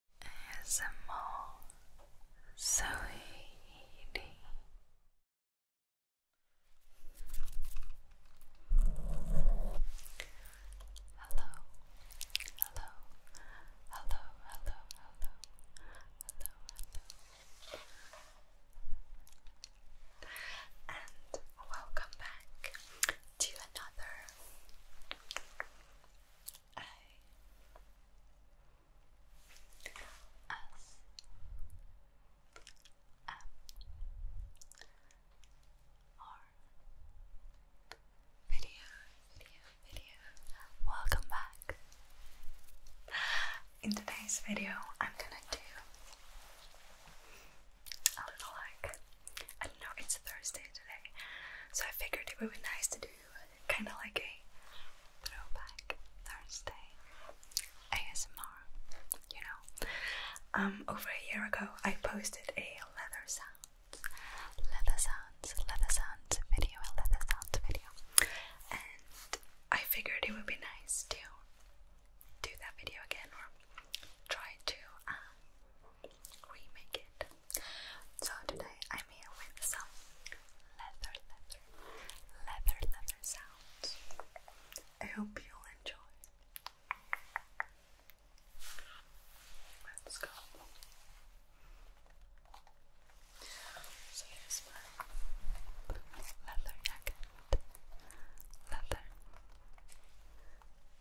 ASMR Zoe Hello, hello, hello, hello, hello, hello, and welcome back to another I S M R video, video, video. Welcome back. In today's video, I'm gonna do a little like I don't know. It's Thursday, so I figured it would be nice to do kind of like a throwback Thursday ASMR, you know. Um, over a year ago, I posted a leather sounds, leather sounds, leather sounds video, leather sounds video, and I figured it would be nice to do that video again or try to um, remake it. So today I'm here with some leather, leather, leather, leather sounds. I hope you'll enjoy. Let's go. So here's my leather jacket. Leather.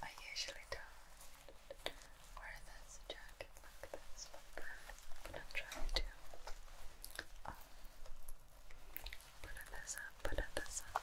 I usually don't wear this jacket like this, but gonna try to um, put this up, put this up.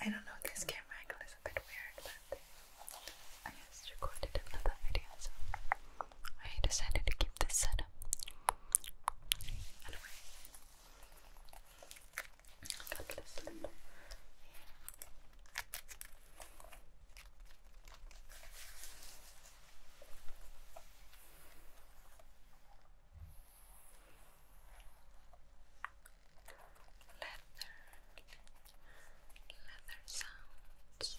I don't know, this camera angle is a bit weird, but I just recorded another video, so I decided to keep this setup. Anyway, I this little leather leather sounds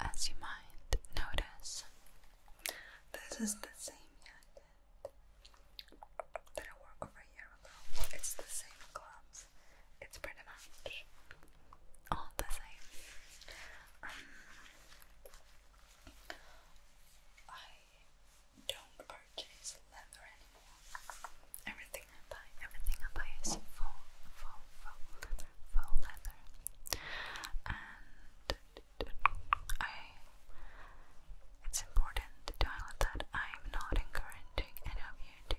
As you might notice, this is the same jacket that I wore over a It's the same gloves it's pretty much all the same. Um, I don't purchase leather anymore. Everything I buy, everything I buy is full, full, full leather, leather. And it's important to highlight that I'm not encouraging any of you here to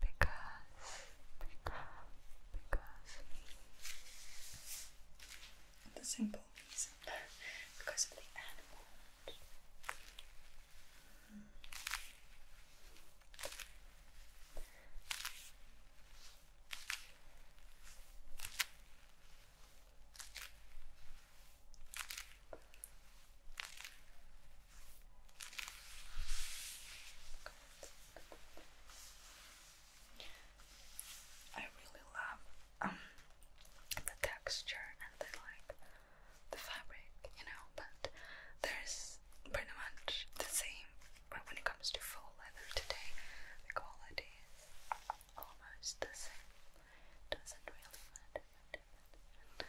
because, because, the simple reason, because of the animals. I really love um, the texture and like the fabric, you know, but there's pretty much the same when it comes to full leather today, the quality is almost the same. Doesn't really matter. Uh,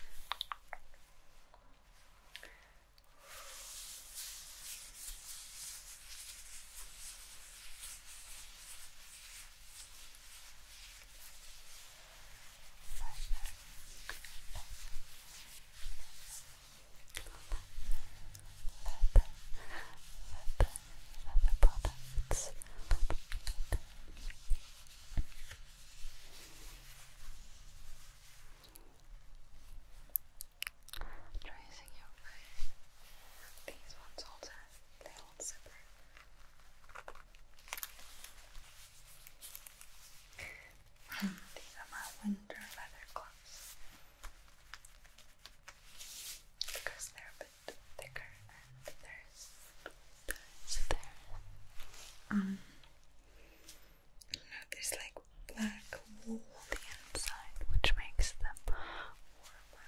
leather, leather, leather products. Tracing your face. These ones also they hold separate. These are my winter leather gloves because they're a bit thicker and there's there's there. Um there's like black wool on the inside which makes them warmer.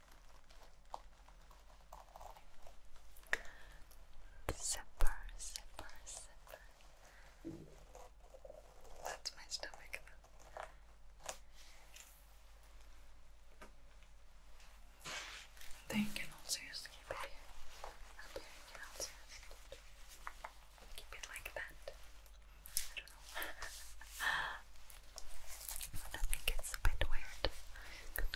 Zipper, zipper, zipper. That's my stomach. you can also just keep it here. Up here, you can also just keep it like that. I don't know. I think it's a bit weird.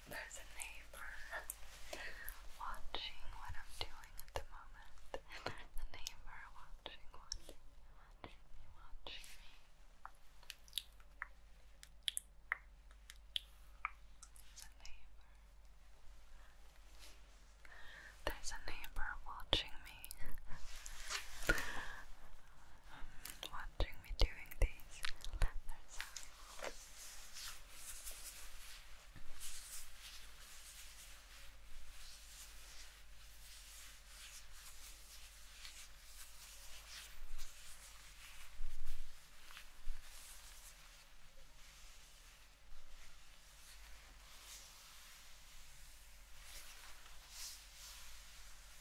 there's a neighbor watching what I'm doing at the moment. The neighbor watching, watching, watching me, watching me. The neighbor. There's a neighbor watching me. what um, watching me doing these leather sounds.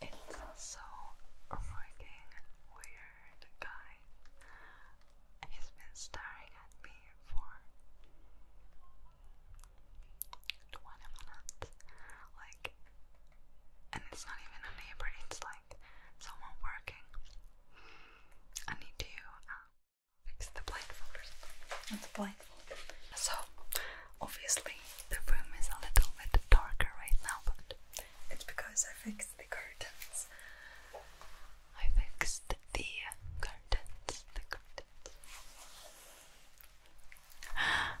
it's also freaking weird guy. He's been staring at me for 20 minutes. Like, and it's not even a neighbor, it's like someone working. I need you fix the blindfolders. It's a blindfold. So, obviously, the room is a little bit darker right now, but it's because I fixed the curtains. I fixed the curtains. The curtains.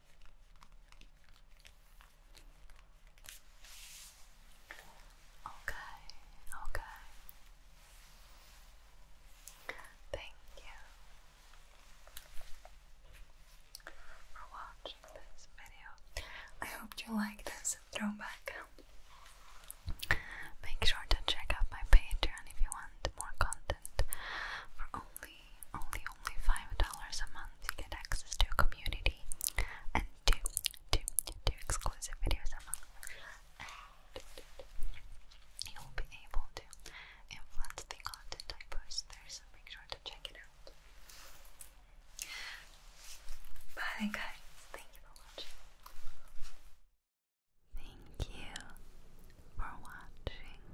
Okay, okay. Thank you for watching this video. I hope you like this throwback. Make sure to check out my Patreon if you want more content for only only only five dollars a month you get access to a community and two two two exclusive videos a month you'll be able to influence the content I there so make sure to check it out. Bye guys, thank you for watching. Thank you for watching.